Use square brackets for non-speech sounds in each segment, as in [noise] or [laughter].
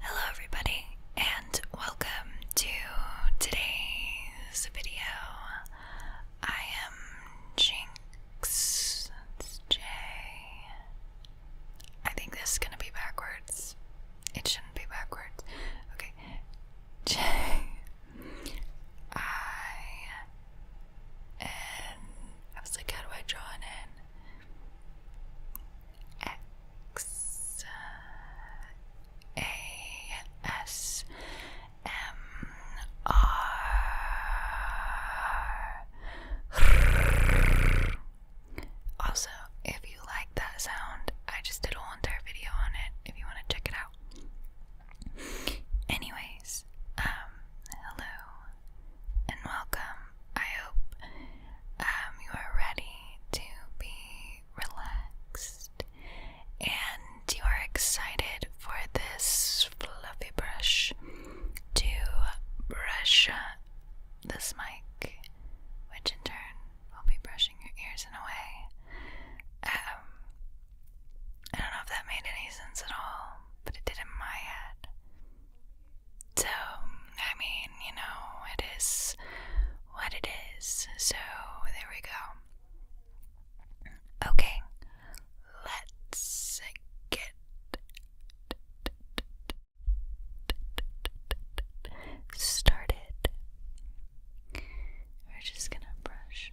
Hello, everybody, and welcome to today's video. I am Jinx. J. I think this is gonna be backwards. It shouldn't be backwards. Okay. [laughs] J. I. N. I was like, how do I draw an N? X A S M R. Also, if you like that sound, I just did a whole entire video on it if you want to check it out. Anyways, um, hello, and welcome. I hope um, you are ready to be relaxed and you are excited for this fluffy brush to brush uh, this mic, which in turn will be brushing your ears in a way. Um, I don't know if that made any sense at all, but it did in my head. So, I mean, you know, it is what it is. So, there we go. Okay, let's get started. We're just gonna brush.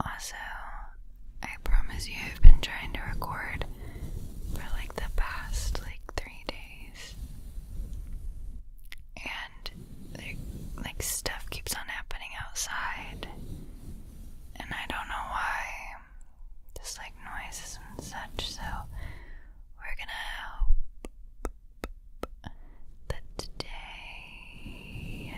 Also, I promise you I've been trying to record for like the past like three days. And like stuff keeps on happening outside and I don't know why, just like noises and such, so we're gonna hope that today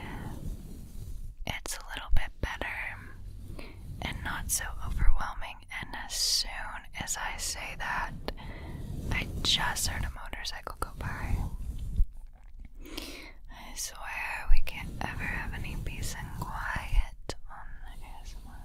it's a little bit better and not so overwhelming. And as soon as I say that, I just heard a motorcycle go by. I swear we can't ever have any peace and quiet on this ASMR.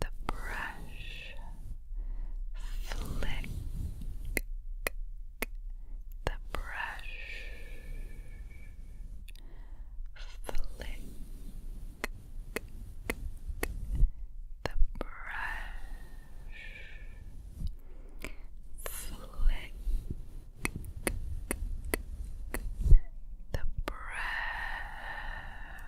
the brush, flick the brush, flick the brush, flick the brush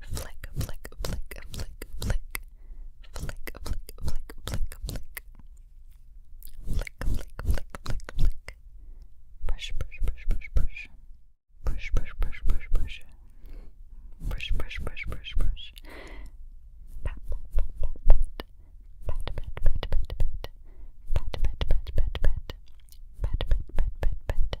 Flick, flick, flick, flick, flick. Flick, flick, flick, flick, flick. Flick, flick, flick, flick, flick. Brush, brush, brush, brush, brush. Brush, brush, brush, brush, brush. Brush, brush, brush, brush, brush. Pat, pat, pat, pat, pat. Pat, pat, pat, pat, pat. Pat, pat, pat, pat, pat. Pat, pat, pat, pat, pat.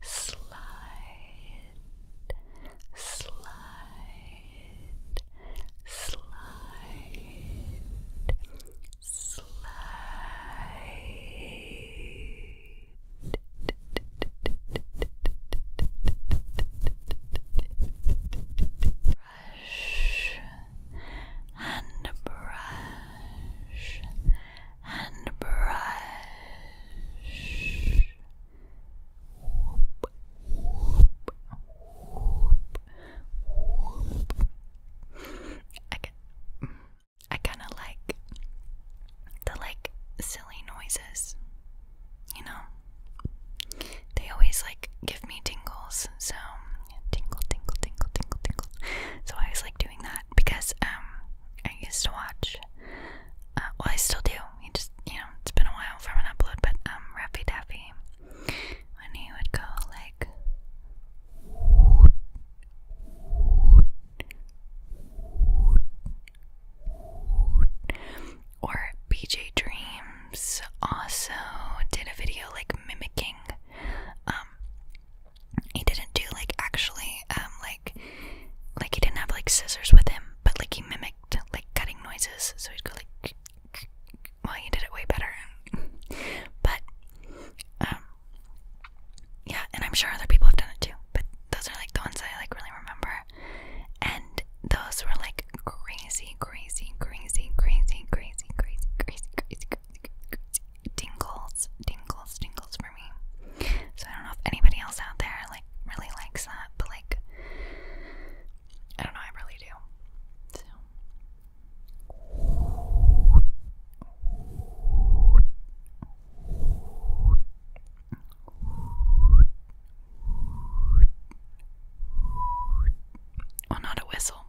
slide, slide, slide, slide. Brush and brush and brush. I, I kind of like the like silly noises, you know. They always like give me tingles, so tingle, tingle, tingle, tingle, tingle. So I always like doing that because um I used to watch uh, well I still do. just you know, it's been a while from an upload, but um Ruffy Duffy when he would go like or BJ Dreams also did a video like mimicking um, he didn't do like actually um like like he didn't have like scissors with him, but like he mimicked like cutting noises, so he'd go like well he did it way better. but um yeah, and I'm sure other people have done it too, but those are like the ones I like really remember. And those were like crazy, crazy, crazy, crazy, crazy, crazy, crazy, crazy, crazy, crazy, crazy, tingles, tingles, tingles for me. So I don't know if anybody else out there like really likes that, but like I don't know, I really do. So not a whistle.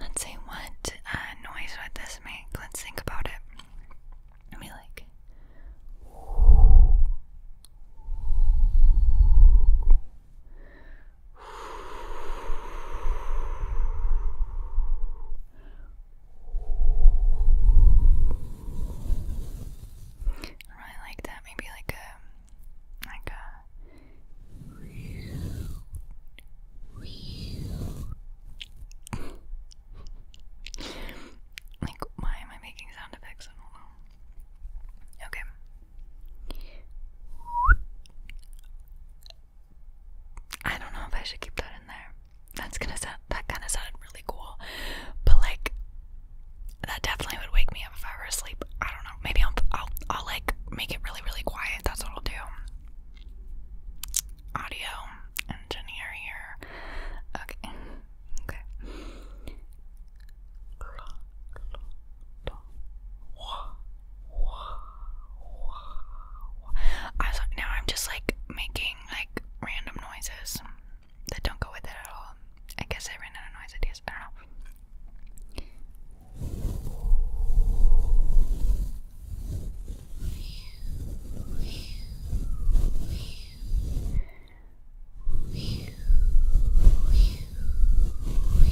Let's see what uh, noise would this make. Let's think about it. Let like. I like that. Maybe like a like a like why am I making sound effects? I don't know. Okay. I don't know if I should keep that in there. That's gonna sound that kind of sounded really cool, but like that definitely would wake me up if I were asleep. I don't know. Maybe I'll I'll, I'll like make it really really quiet. That's what I'll do. Audio engineer here. Okay. Okay. I was like, now I'm just like making like random noises that don't go with it at all. I guess I ran out of noise ideas. I don't know.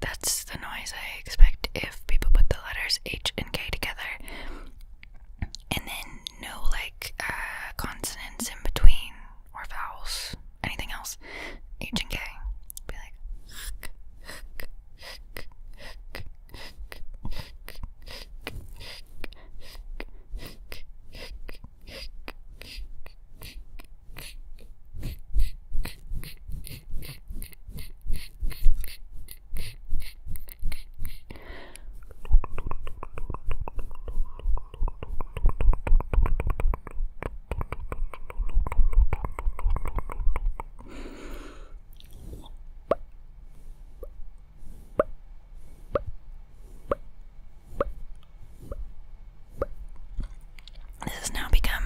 That's the noise I expect if people put the letters H and K together. And then no like uh, consonants in between or vowels anything else, H and K. Be like this has now become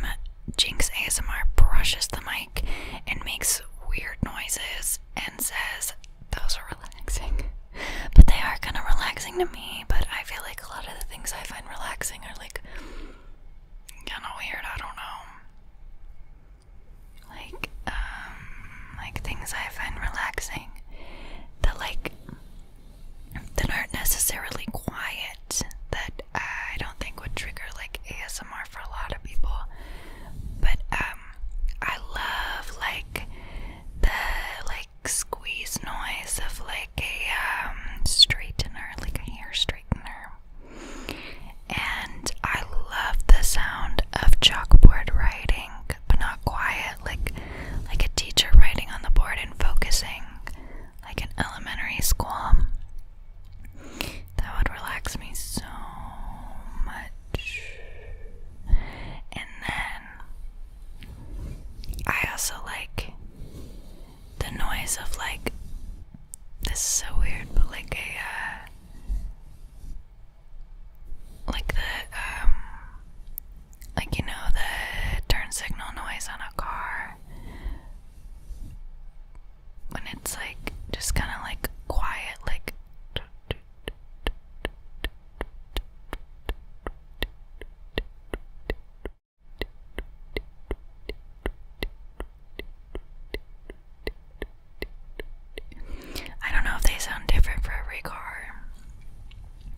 Jinx ASMR brushes the mic and makes weird noises and says those are relaxing. [laughs] But they are kind of relaxing to me, but I feel like a lot of the things I find and relaxing are like kind of weird. I don't know. Like, um, like things I find relaxing that like that aren't necessarily quiet that I don't think would trigger like ASMR for a lot of people. But um, I love like the like squeeze noise of like a um, straightener, like a hair straightener. And I love the sound of chalkboard writing, but not quiet, like like a teacher writing on the board and focusing, like an elementary school. That would relax me so much. And then I also like the noise of like this is so weird, but like a uh, like the um like you know the turn signal noise on a car when it's like just kind of like quiet like I don't know if they sound different for every car.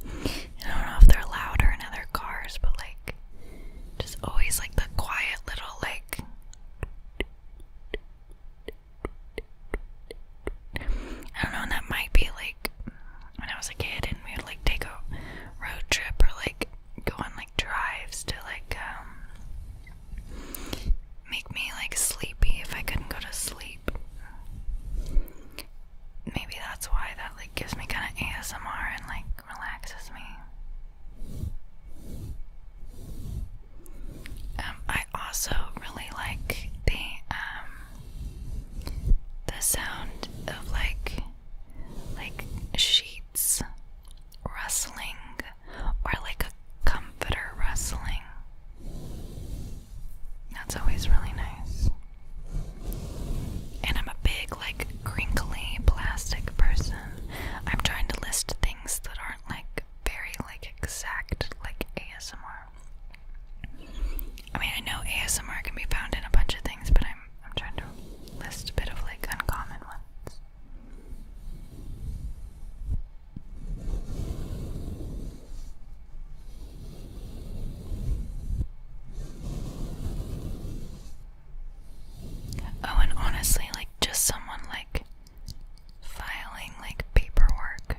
I don't know if they're louder in other cars, but like, just always like the quiet little, like. I don't know, that might be like when I was a kid and we would like take a road trip or like go on like drives to like um make me like sleepy if I couldn't go to sleep. Maybe that's why that like gives me kind of ASMR and like relaxes me. Um, I also really like the um the sound of like like sheets rustling or like a comforter rustling. That's always really nice. And I'm a big, like, crinkly plastic person. I'm trying to list things that aren't, like, very, like, exact, like, ASMR. I mean, I know ASMR can be found in a bunch of things, but I'm I'm trying to list a bit of like uncommon ones. Oh, and honestly, like just someone like filing like paperwork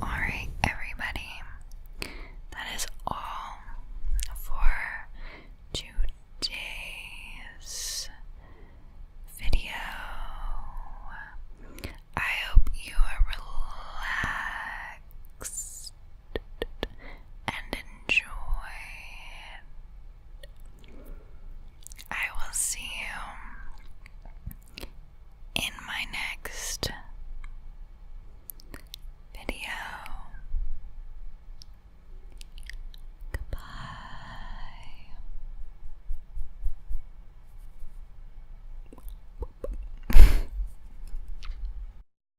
Alright, everybody, that is all for today's video. I hope you are and enjoy it. I will see you in my next video. Goodbye. [laughs]